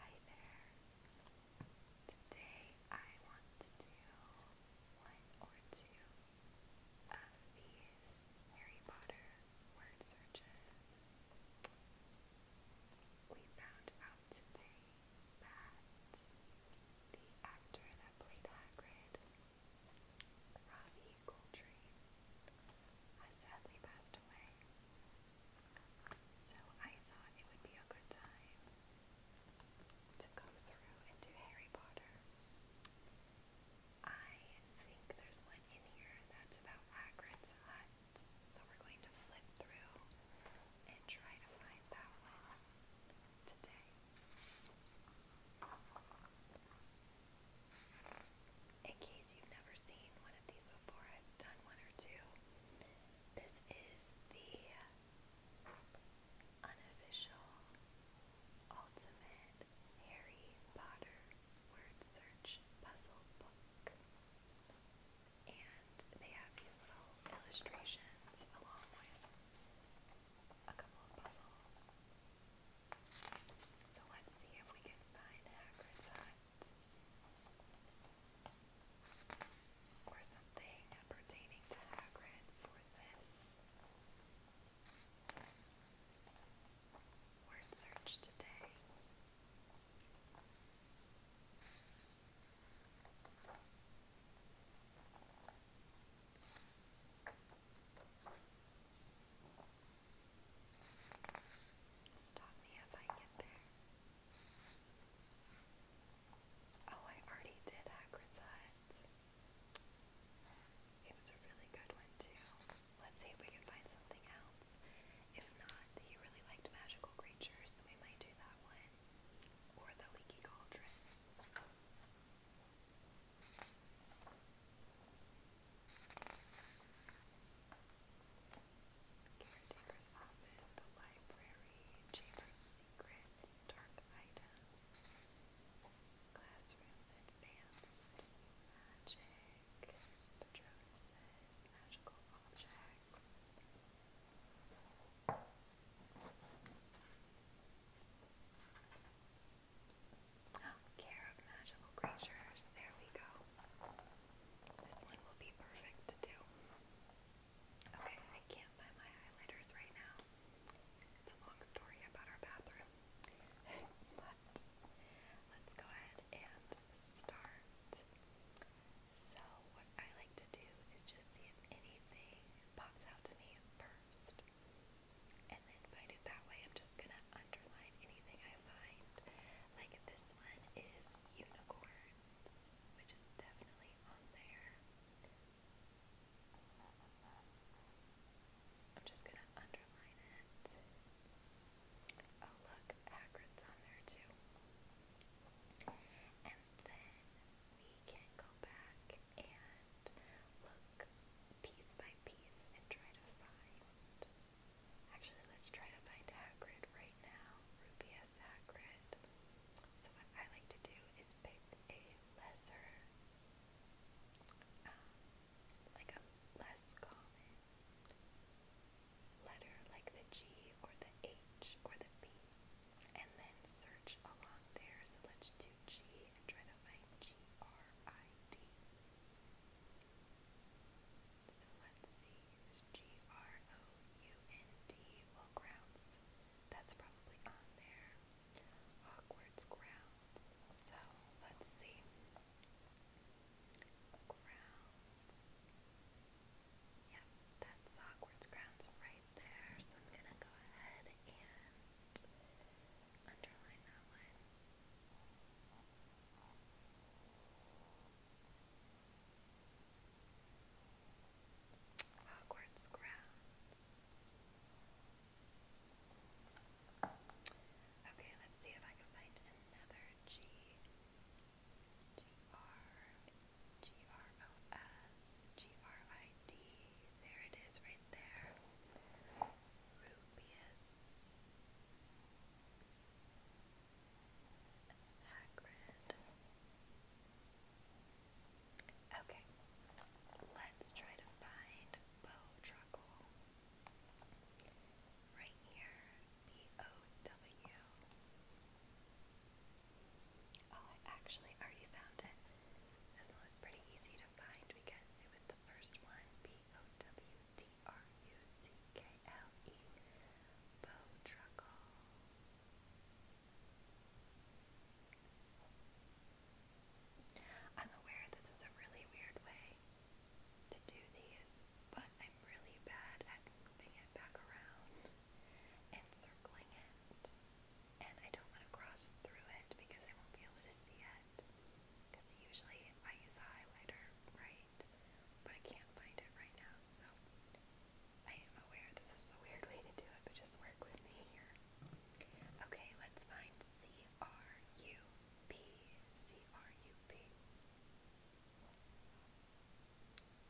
Hi there. Today I want to do one or two of these Harry Potter word searches. We found out today that the actor that played Hagrid, Robbie Coltrane, has sadly passed away. So I thought it would be a good time to go through and do Harry Potter. I think there's one in here that's about Hagrid's hut, so we're going to flip through and try to find that one today in case you've never seen one of these before, I've done one or two. This is the unofficial ultimate Harry Potter word search puzzle book. And they have these little illustrations along with a couple of puzzles. So let's see if we can find Hagrid's hut or something pertaining to Hagrid for this word search today. Stop me if I get there. Oh, I already did Hagrid's It was a really good one, too. Let's see if we can find something else. If not, he really liked magical creatures, we might do that one. Or the leaky cauldron. Caretaker's office, the library, chamber of secrets, dark items, classrooms, advanced magic, patronuses, magical objects. care of magical creatures. There we go. This one will be perfect to do. Okay, I can't find my highlighters right now. It's a long story about our bathroom. but let's go ahead and start. So, what I like to do is just see if anything pops out to me first. And then find it that way. I'm just gonna underline anything I find. Like this this one is Unicorns, which is definitely on there. I'm just going to underline it. Oh, look, Hagrid's on there too. And then we can go back and look piece by piece and try to find Actually, let's try to find Hagrid right now. Rubius Hagrid. So what I like to do is pick a lesser, um, like a less common letter, like the G or the H or the B, and then search along there. So let's do G and try to find G R I D. So let's see, use G-R-O-U-N-D, well, grounds, that's probably on there. Awkward's grounds, so let's see. Grounds, yep, that's Awkward's grounds right there, so I'm gonna go ahead and underline that one. Hogwarts grounds. Okay, let's see if I can find another G. G R G R O S G R I D. There it is, right there. Rubius. Hagrid. Okay, let's try to find Bo Right here, B-O-W. Oh, I actually already found it. This one was pretty easy to find because it was the first one, B B-O-W-T-R-U-C-K-L-E Bodruckle am aware this is a really weird way to do these, but I'm really bad at moving it back around and circling it. And I don't want to cross through it because I won't be able to see it. Because usually I use a highlighter, right? but I can't find it right now, so I am aware this is a weird way to do it, but just work with me here. Okay, let's find C-R-U-P, C-R-U-P, C-R-U-P,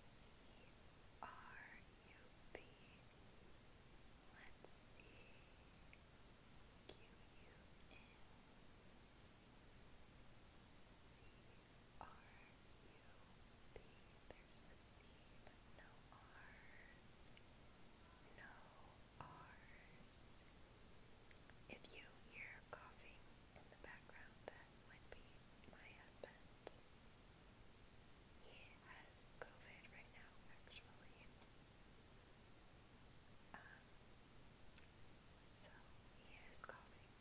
let's see, Q-U-N, C R U B. There's a C, but no R's. No R's. If you hear coughing in the background, that would be my husband. He has COVID right now, actually. Um, so he is coughing.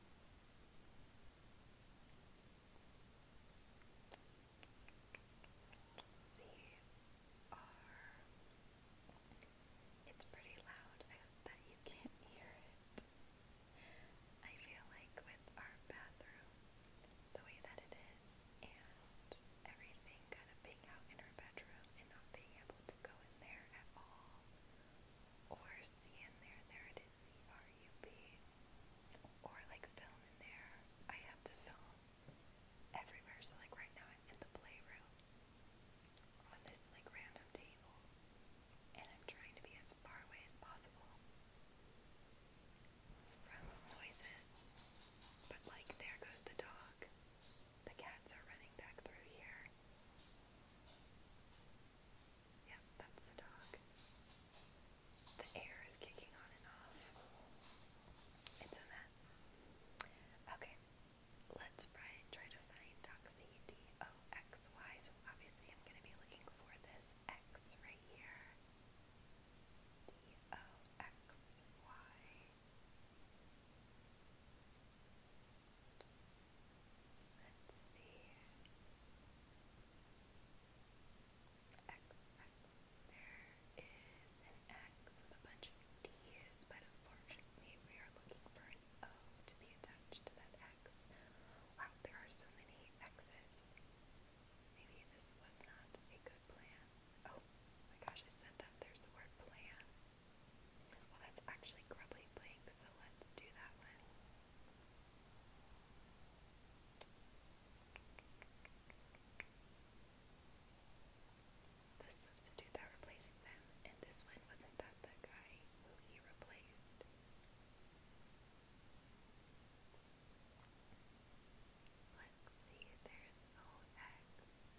See, it's pretty loud. I hope that you can't hear it. I feel like with our bathroom, the way that it is, and everything kind of being out in our bedroom and not being able to go in there at all, or see in there. There it is, C R U B. Or like film in there. I have to film everywhere. So like right now I'm in the playroom on this like random table, and I'm trying to be as far away as possible from noises. But like there goes the dog. The cats are running back through here. Yep, that's the dog. The air is kicking on and off. It's a mess. Okay, let's try to find Doxy D O X Y. So obviously, I'm going to be looking for this X right here. D O X Y. Let's see. X, X. There is an X with a bunch of D's, but unfortunately we are looking for an O to be attached to that X. Wow, there are so many X's. Maybe this was not a good plan. Oh my gosh, I said that. There's the word plan. Well, oh, that's actually Grubbly Blank, so let's do that one. The substitute that replaces him, and this one wasn't that the guy who he replaced. Let's see, there's OX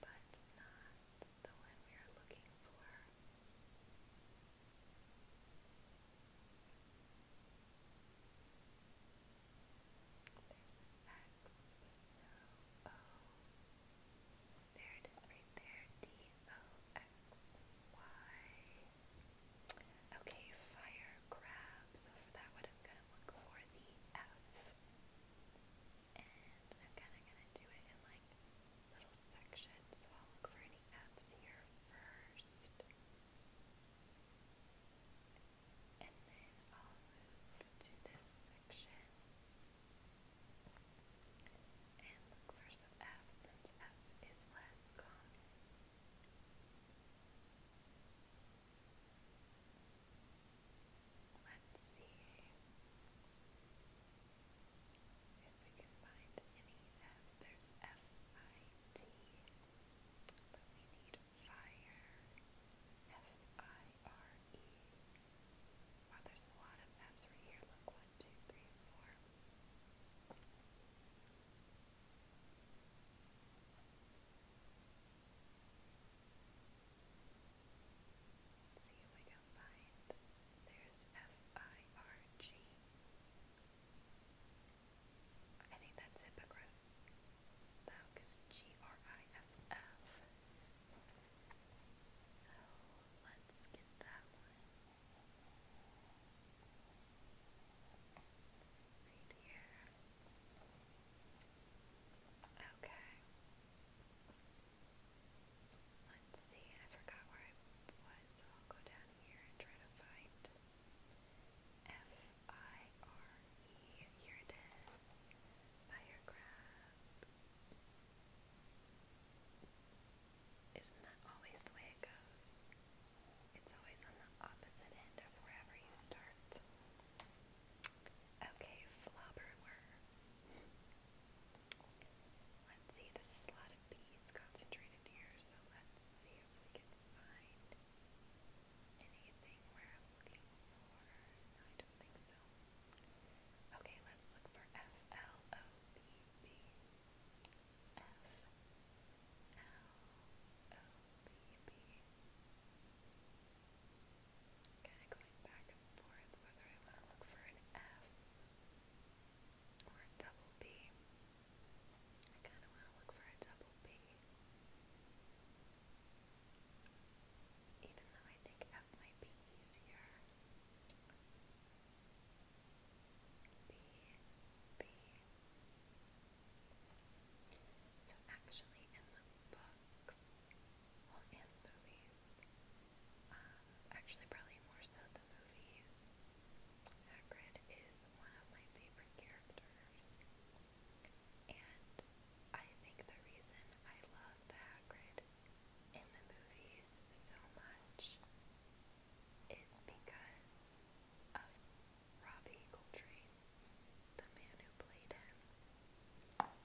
but not the one we are looking for. There's an X no O. There it is right there. D O X Y. Okay, fire for that, what I'm going to look for the F and I'm kind of going to do it in like little sections, so I'll look for any F's here first, and then I'll move to this section and look for some F since F is less common. Let's see if we can find any F's. There's F-I-T, but we need fire. F-I-R-E. Wow, there's a lot of F's right here. Look, one, two, three, four see if we can find. There's F-I-R-G. I think that's hypocrite. That is G-R-I-F-F. So let's get that one. Right here. Okay. Let's see, I forgot where I was, so I'll go down here and try to find F-I-R-E. Here it is. Isn't that always the way it goes? It's always on the opposite end of wherever you start. Okay, flobberwort. Let's see, this is a lot of bees concentrated here, so let's see if we can find anything where I'm looking for. I don't think so. Okay, let's look for F L O B B. F L O B B. Kind of going back and forth whether I want to look for an F or a double B. I kind of want to look for a double B. Even though I think F might be easier. B, B. So actually, in the book, books well, movies. Um, actually, probably more so the movies. Hagrid is one of my favorite characters. And I think the reason I love the Hagrid in the movies so much is because of Robbie Coltrane, played him.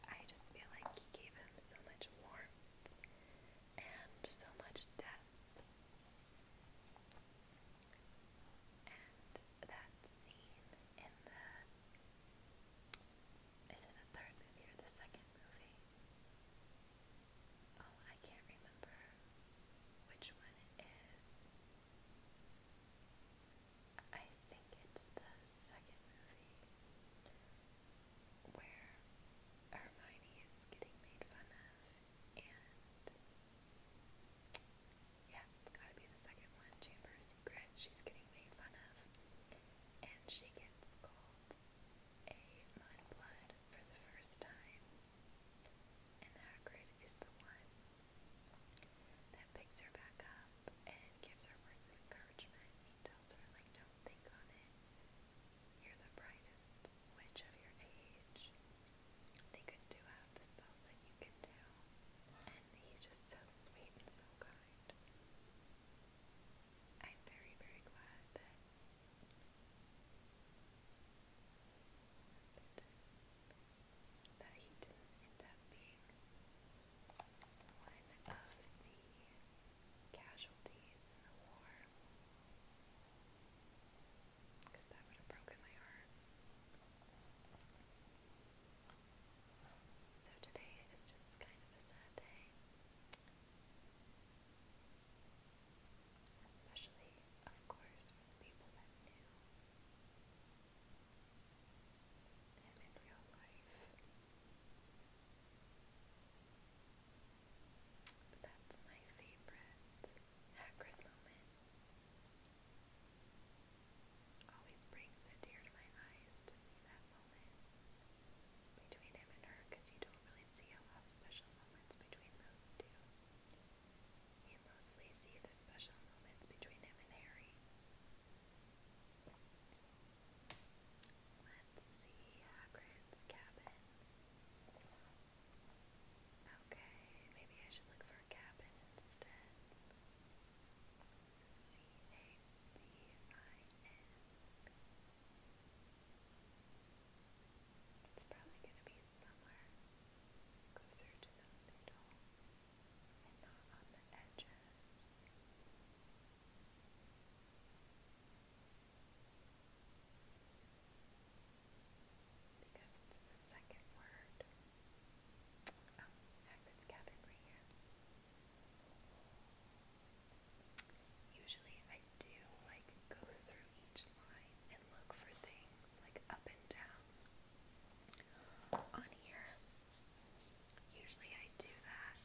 I just feel like he gave him so much warmth and so much depth. And that scene in the is it the third movie or the second movie? Oh, I can't remember which one it is. I think it's the second movie where Hermione is getting made fun of, and yeah, it's gotta be the second one, Chamber of Secrets, she's getting made fun of, and she gets called a mudblood for the first time, and Hagrid is the one that picks her back up and gives her words of encouragement. He tells her, like, don't think on it. You're the brightest witch of your age. They could do half the spells that you can do. And he's just so sweet and so kind. I'm very, very glad that that he didn't end up being one of the casualties in the war. Because that would have broken my heart. So today is just kind of a sad day. Especially, of course, for the people that knew and But that's my favorite Always brings a tear to my eyes to see that moment between him and her because you don't really see a lot of special moments between those two. You mostly see the special moments between him and Harry. Let's see Hagrid's cabin. Okay, maybe I should look for a cabin instead. So C A B I N. It's probably going to be somewhere closer to the middle and not Because it's the second word. Oh, heck, it's here. Usually I do like go through each line and look for things like up and down. On here, Usually I do that.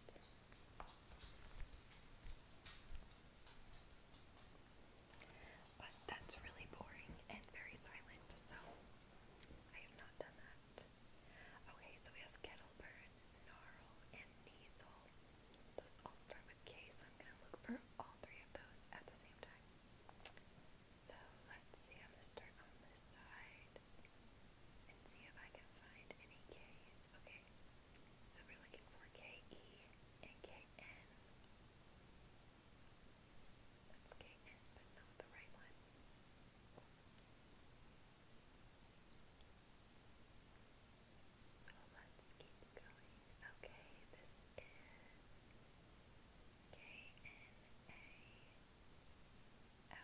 But that's really boring and very silent, so I have not done that. Okay, so we have Kettleburn, Gnarl, and Neasel. Those all start with K, so I'm going to look for all three of those at the same time. So let's see, I'm going to start on this side and see if I can find any K's. Okay, so we're looking for KE That's KN, but not the right one. So let's keep going. Okay, this is KNA. L. Oh.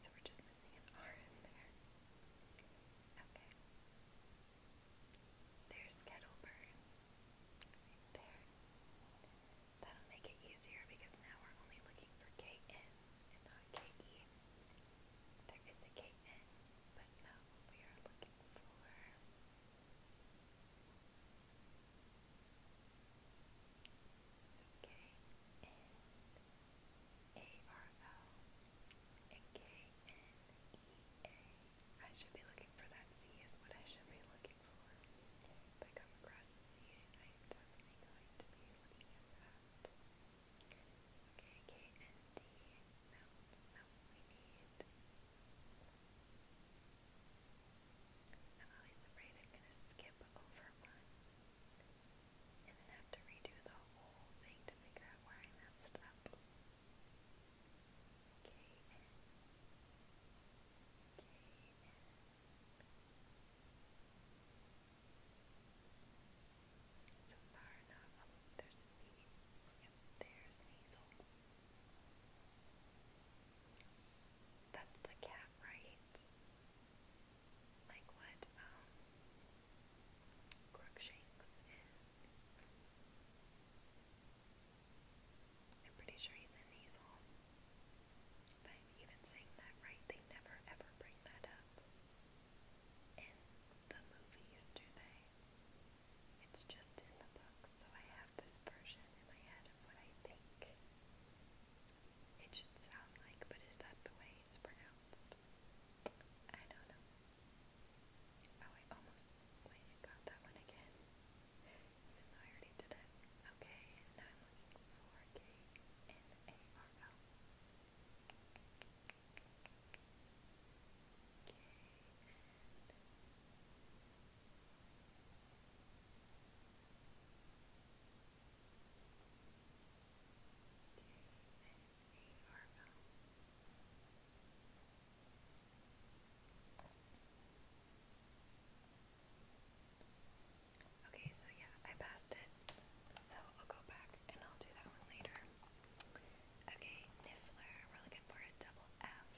So we're just missing an R in there. Okay. There's Kettleburn. there. That'll make it easier because now we're only looking for KN not KE. There is a but now we are looking for so K N A R L should be looking for that C is what I should be looking for. If I come across a C, I am definitely going to be looking at that. Okay, no, we need. I'm always afraid I'm gonna skip overrun. And then have to redo the whole thing to figure out where I messed up. K N K N So far not oh there's a Z. Yep, there's Hazel. That's the cat that right? Like what um, Crookshanks is. I'm pretty sure he's an easel. If even saying that right, they never ever bring that up. In the movies, do they? It's just in the books, so I have this version in my head of what I think it should sound like, but is that the way it's pronounced? I don't know. Oh, I almost got that one again, even though I already did it. Okay, now I'm looking for K-N-A-R-L. K-N... Okay, so yeah, I passed it. So I'll go back and I'll do that one later. Okay, Niffler, we're looking for a double F.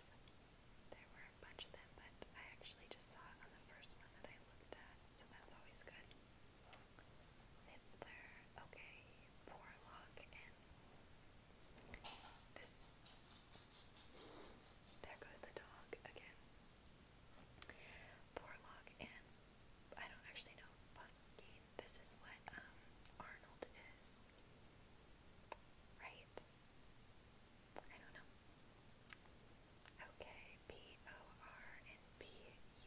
There were a bunch of them, but I actually just saw it on the first one that I I looked at, so that's always good. Niffler, okay, Porlock, and this. There goes the dog again. Porlock and I don't actually know Buffskin. This is what um, Arnold is, right? I don't know. Okay, P O R and P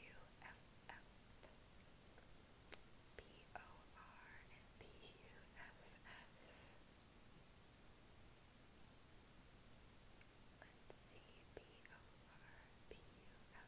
U F F. P O R and P U F F. Let's see, P O R P U F F.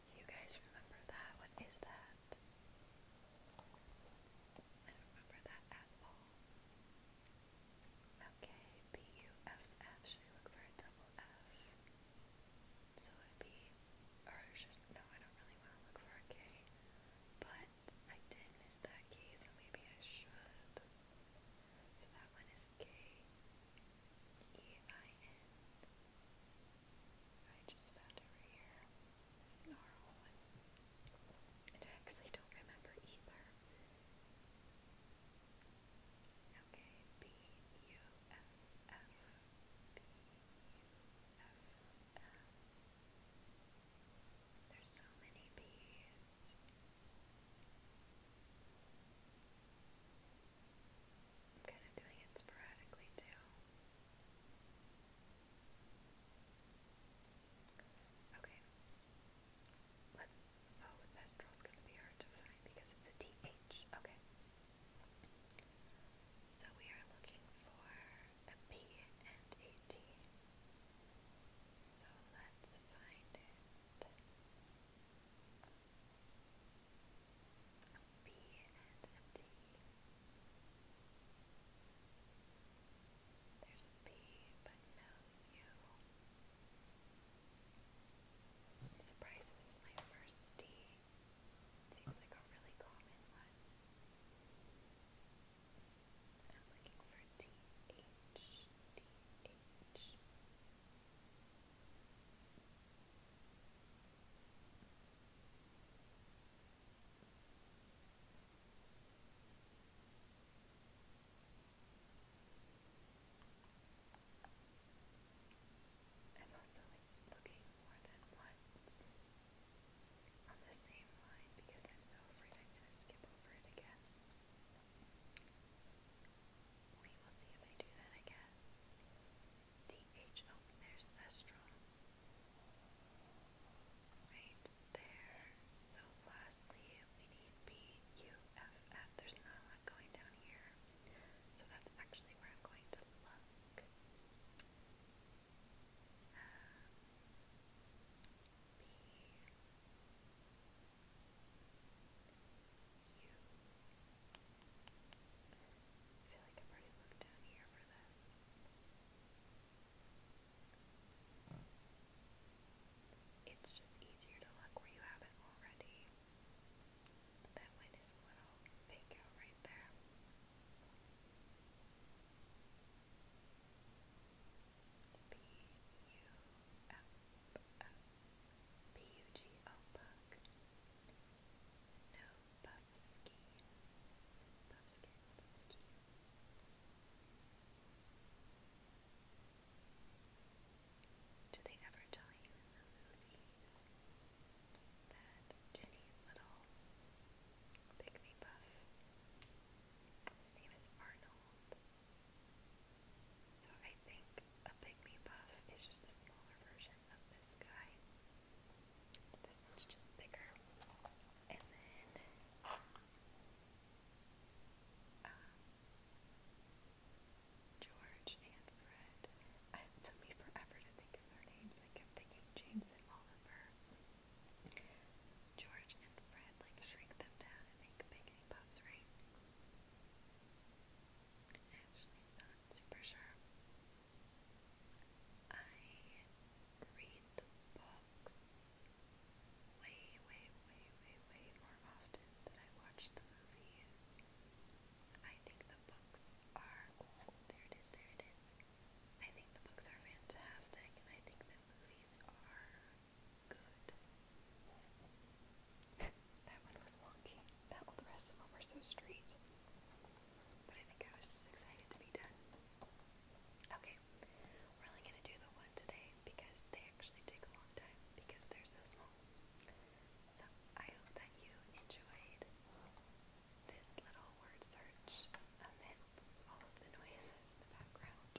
You guys remember that? What is that? I remember that at all. Should I look for a double F? So it or should no? I don't really want to look for a K, but I did miss that K, so maybe I should. So that one is K E I N. I just found it here. This gnarl And I actually don't remember either. Okay, B U F F. B U F F. There's so many B's. Okay. Let's. Oh, Thestral's gonna be hard to find because it's a TH. Okay. So we are looking for a P and a T. So let's find it. A B and There's a B, but no U. I'm this is my first D. seems like a really common one. I'm looking for T H D H. I'm also looking more than once on the same line because I'm so I'm going to skip over it again. We will see if I do that, I guess. DH, there's estral. Right there. So lastly, we need BUFF. There's not going down here. So that's actually where I'm going to look. Um, it's just easier to look where you haven't already. That one is a little fake out right there. B U F P U G O do they ever tell you in the movies that Jenny's little pick buff? His name is Arnold. So I think a pick me buff is just a smaller version version of this guy. This one's just bigger. And then um, George and Fred. it took me forever to think of their names. I kept thinking James and Oliver. George and Fred, like, shrink them down and make bacon puffs, right? Actually, not super sure. I read the books way, way, way, way, way more often than I watch the movies. I think the books are, oh, there it is, there it is. I think the books are fantastic, and I think the movies are good. That one was wonky. That one rest them over so straight. But I think I was just excited to be done. Okay, we're only gonna do the one today because they actually take a long time because they're so small. So I hope that you enjoyed this little word search amidst all of the noises in the background.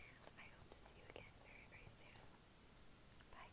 And I hope to see you again very, very soon. Bye.